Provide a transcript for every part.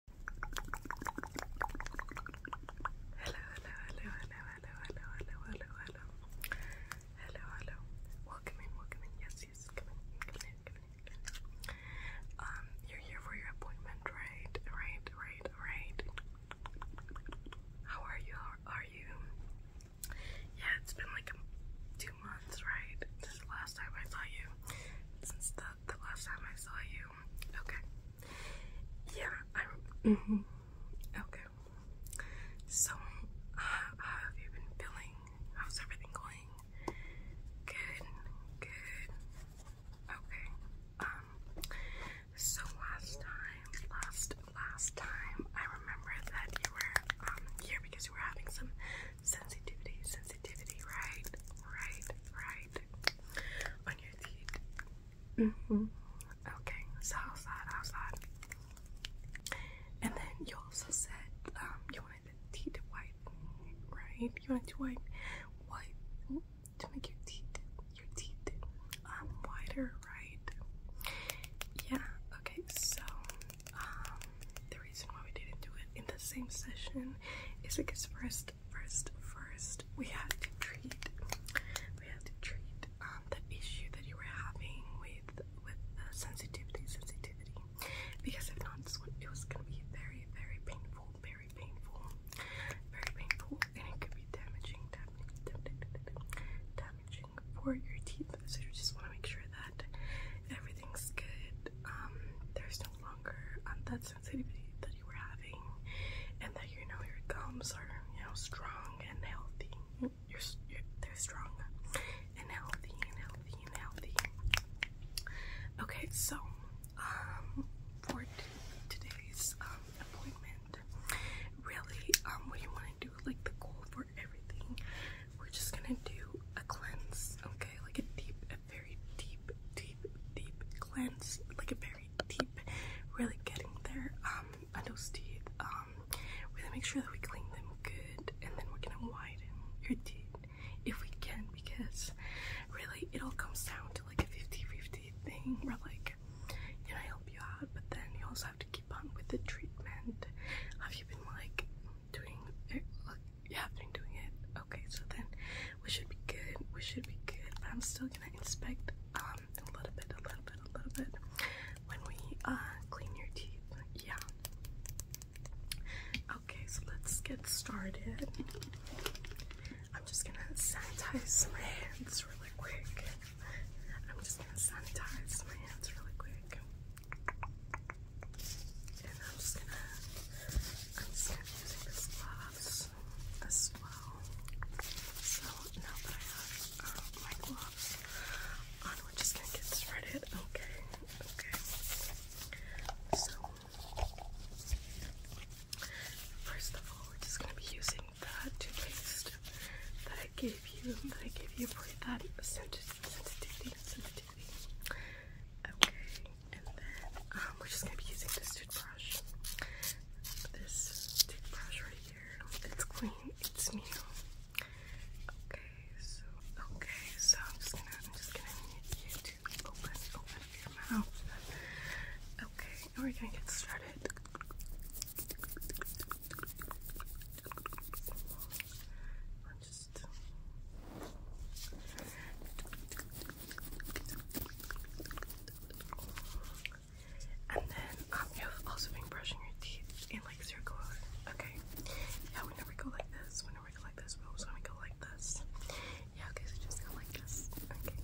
hello, hello, hello, hello, hello, hello, hello. Hello, Welcome in, welcome in. Yes, yes, come in, come in, Um, you're here for your appointment, right? Right, right, right. How are you? are you? Yeah, it's been like two months, right? This is the last time I saw you. Since the, the last time I saw you. Okay. Yeah, Mm -hmm. Okay. So, how have you been feeling? How's everything going? Good. Good. Okay. Um. So last time, last last time, I remember that you were um here because you were having some sensitivity, sensitivity, right? Right. Right on your feet. Mm -hmm. Okay, so outside, outside. And then you also said um, you wanted the teeth white, right? You wanted to white, white to make your teeth, your teeth um, whiter, right? Yeah. Okay. So um, the reason why we didn't do it in the same session is because first first, first, we have to treat, we have to treat um, the issue that you were having with with the sensitivity, sensitivity. Because if not, this it was gonna be very, very painful, very painful, very painful, and it could be damaging, damaging, damaging, for your teeth. So you just want to make sure that everything's good. Um, there's no longer on um, that sensitivity that you were having and that you know your gums are you know strong and healthy you're, you're they're strong and healthy and healthy and healthy okay so um for today's um appointment really um what do you want to do like the goal for everything we're just gonna do a cleanse okay like a deep very deep, deep, deep cleanse, like a very deep, really getting there um, on those teeth. Um, we're gonna make sure that we clean them good, and then we're gonna widen your teeth if we can, because really it all comes down to like a 50-50 thing. Where like, you know, I help you out, but then you also have to keep on with the treatment. Have you been like doing eh, like you been doing it. Okay, so then we should be good. We should be good. But I'm still gonna inspect um a little bit, a little bit, a little bit when we uh clean your teeth. Yeah. Okay, so let's get started. I'm just gonna sanitize my hands really quick. I'm just gonna sanitize my hands really quick. And I'm just gonna, I'm just gonna be using this gloves as well. So now that I have um, my gloves on, we're just gonna get started. Okay, okay. So, first of all, we're just gonna be using the toothpaste that I gave you, that I gave you for that sensitivity, sensitivity. Okay. And then um, we're just gonna be using this toothbrush. This toothbrush right here. It's clean. It's new. Okay, so okay, so I'm just gonna I'm just gonna need you to open open your mouth. Okay, we're gonna get started just and then um, you have also been brushing your teeth in like circular. Okay, yeah, we go like this. We go like this. We go like this. Yeah, okay, so just go like this. Okay,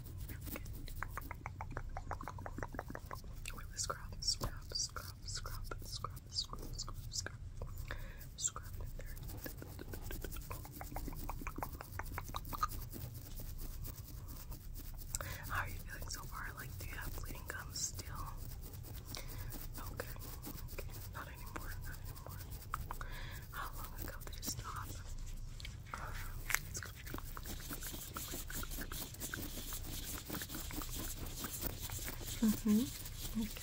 really scrub, scrub, scrub, scrub, scrub, scrub, scrub, scrub scrubbed in there. How are you feeling so far? Like, do you have bleeding gums still? Okay, oh, okay, not anymore, not anymore. How long ago did it stop? Um, mm-hmm. it's Okay.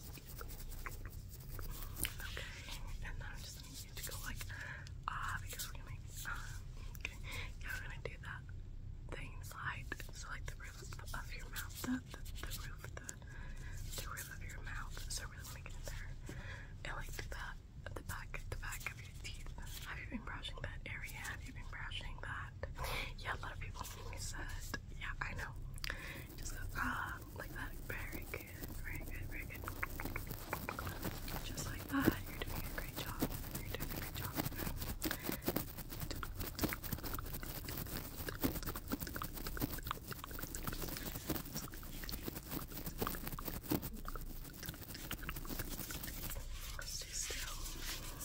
Okay, and then I'm just gonna need to go like ah uh, because we're gonna uh, okay, yeah we're gonna do that thing slide. So like the roof of your mouth, the the, the roof, the the roof of your mouth. So I really wanna get in there and like do that at the back, the back of your teeth. Have you been brushing that area? Have you been brushing that? that. Yeah, a lot of people think Yeah, I know. Just go, ah, like that. Very good, very good, very good. Just like that. You're doing a great job. You're doing a great job. Stay still.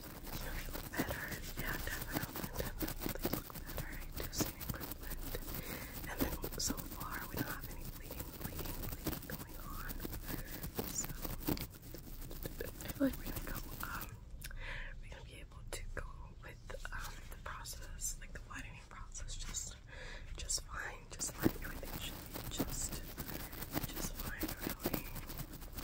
look better. Yeah, definitely, definitely look better. I And then so far, we don't have any bleeding, bleeding, bleeding going on. So I feel like we're gonna go. be able to go with the process, like the widening process, just just fine, just fine. Everything should be just just fine, really.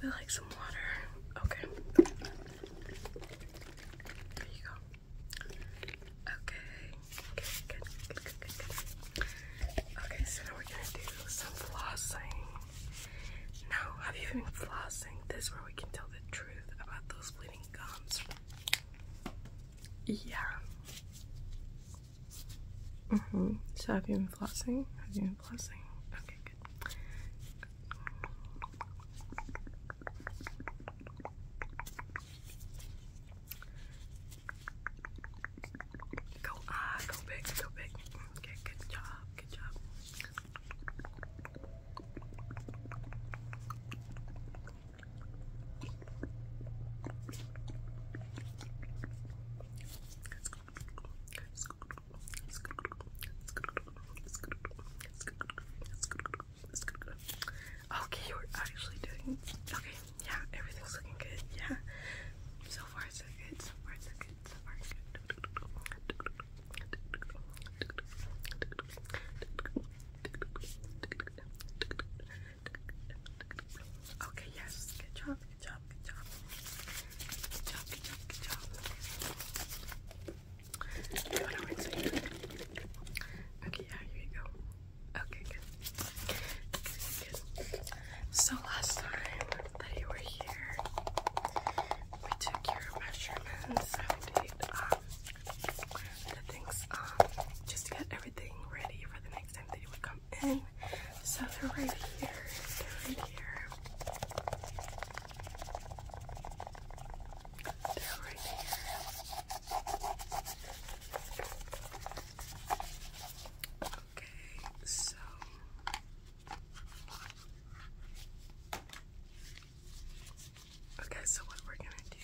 They like some water. Okay. There you go. Okay. Good, good, good, good, good, good. Okay, so now we're gonna do some flossing. Now, have you been flossing? This is where we can tell the truth about those bleeding gums. Yeah. Mm -hmm. So have you been flossing? Have you been flossing? Okay, good. Go ah, go big, go big. Okay, good job, good job. Okay, you're actually doing okay. Yeah, everything's looking good. Yeah, so far so good. So far so good. So far so good. Okay, yes. Good job, good job, good job. Good job, good job, Okay, yeah, here you go. Okay, good. Good, good. So last time that you were here, we took your measurements and we did um the things um just to get everything ready for the next time that you would come in. So they're right here. They're right here. They're right here. Okay, so. Okay, so what we're gonna do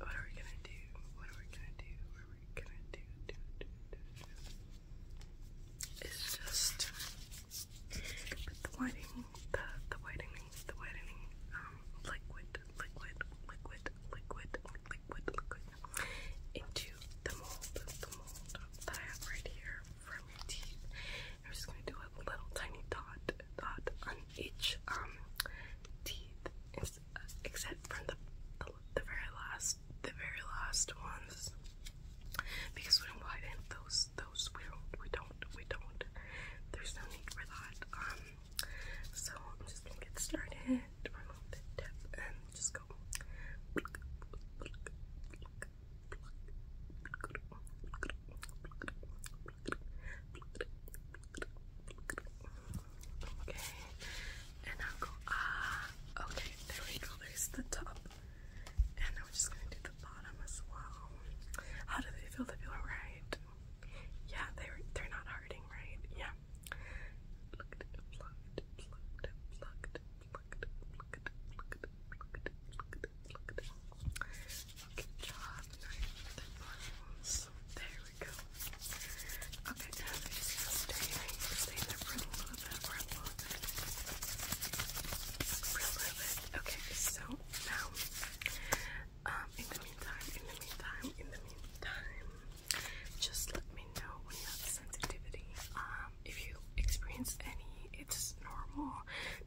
what are we gonna do? What are we gonna do? What are we gonna do? do, do, do, do. It's just but the whitening, the the whitening, the whitening, um, liquid, liquid, liquid, liquid, liquid, liquid into the mold, the mold that I have right here from your teeth. I'm just gonna do a little tiny dot, dot on each um teeth except for the, the, very last the very last ones because when we did those those we don't we don't there's no need for that um so I'm just gonna get started and just go Okay, and I'll go ah. okay, there we go. There's the top, and now we're just gonna do the bottom as well. How do they feel? They feel right? Yeah, they're they're not hurting, right? Yeah. Plucked, plucked, plucked, plucked, plucked, plucked, plucked, plucked, plucked, plucked. Good job. Nice. There Okay, just so now, um, in the meantime, in the meantime, in the meantime, just let me know when you have sensitivity. Um, if you experience any, it's normal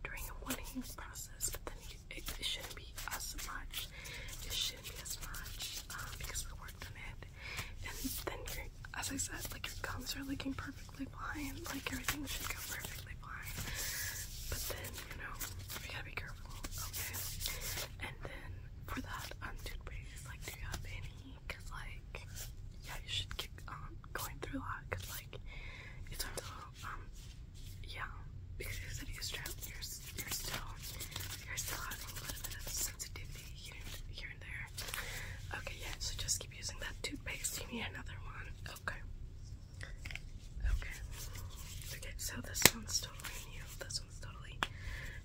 during a wanting process, but then you it, shouldn't be as much. It shouldn't be as much um, because we worked on it. And then, your, as I said, like your gums are looking perfectly fine. Like everything should go perfectly fine. But then, you know, we gotta be careful, okay? And then for that um, toothpaste, like, do you have any? Cause like, yeah, you should keep on um, going through that. Cause like, it's little um yeah, because you said you're still, you're, you still, having a little bit of sensitivity here, here and there. Okay, yeah, so just keep using that toothpaste. You need another one. Okay. Okay. Okay, so this one's totally new. This one's totally,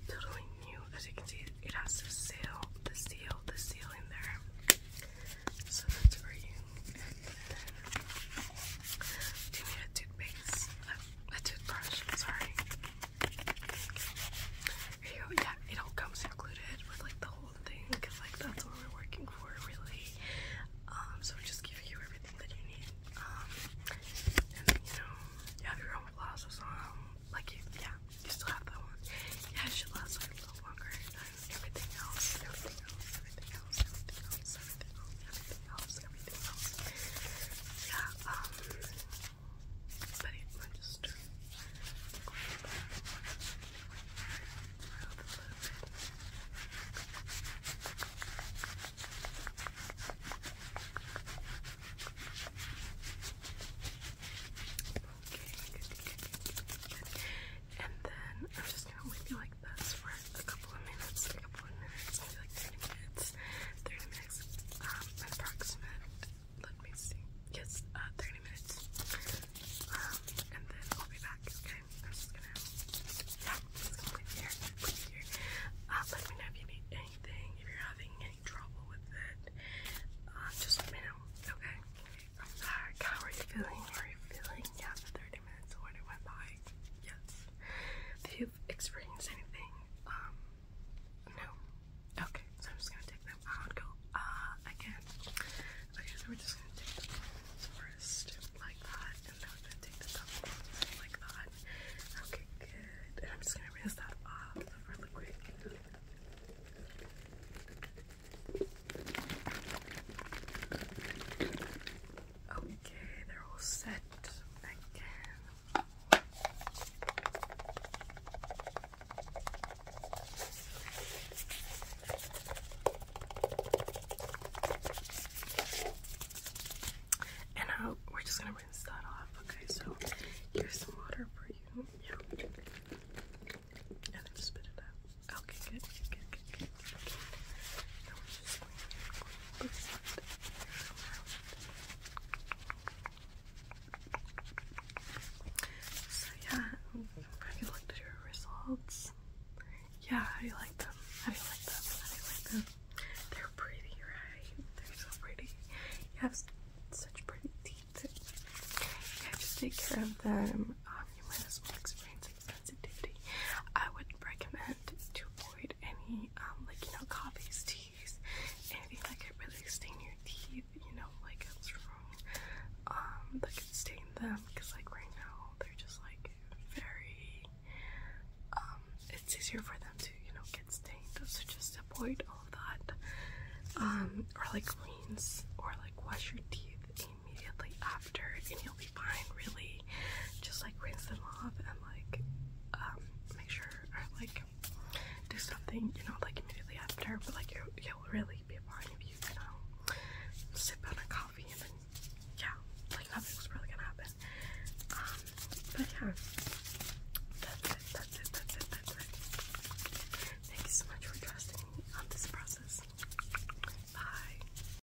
totally new. As you can see, it has the seal, the seal, the seal in there. So that's for you. And then, a toothpaste? a toothbrush. Sorry. Here you Yeah, it all comes included with like the whole thing because like that's what we're working for, really. Um, so just give you everything that you need. Um, and you know, you have your own glasses on. Um, like you, yeah, you still have that one. Yeah, it should a little longer Everything else. Everything else. Everything else. Everything else. Everything else helps everything else. Yeah, um, but it might Okay, And then I'm just gonna whip you that's this for a couple of minutes, a couple of minutes, maybe like 30 minutes, 30 minutes, um, approximate, let me see, yes, uh, 30 minutes, um, and then I'll be back, okay, I'm just gonna, yeah, I'm gonna leave here, leave here, uh, let me know if you need anything, if you're having any trouble with it, uh, just let okay, I'm back, how are you feeling, how are you feeling, yeah, 30 minutes, when went by, yes, do you you experienced anything. Um, no. Okay, so I'm just gonna take them out. Go ah uh, again. Okay, so we're just gonna take the first, like that, and then we're gonna take the top like that. Okay, good. And I'm just gonna rinse that off really quick. Okay, they're all set again. And now uh, we're just gonna rinse that off. Okay, so here's some water for you. Yeah. And then spit it out. Okay, good, good, good. So yeah, have you looked at your results? Yeah, how do you like them? I do like them? I do like them? They're pretty, right? They're so pretty. You have such pretty teeth. Yeah, just take care of them. Um, you might as well experience sensitivity, I would recommend to avoid any um, like you know coffees, teas, anything that could really stain your teeth, you know, like it's strong um, that could stain them because like right now they're just like very um, it's easier for them to, you know, get stained. So just avoid all of that. or like rinse or like wash your teeth immediately after you'll be fine, really. Just like rinse them off and like um make sure or like do something, you know, like immediately after. But like you you'll really be fine if you, you know, sip on a coffee and then yeah, like nothing's really gonna happen. Um, but yeah. That's it, that's it, that's it, that's it. Thank you so much for trusting me on this process. Bye.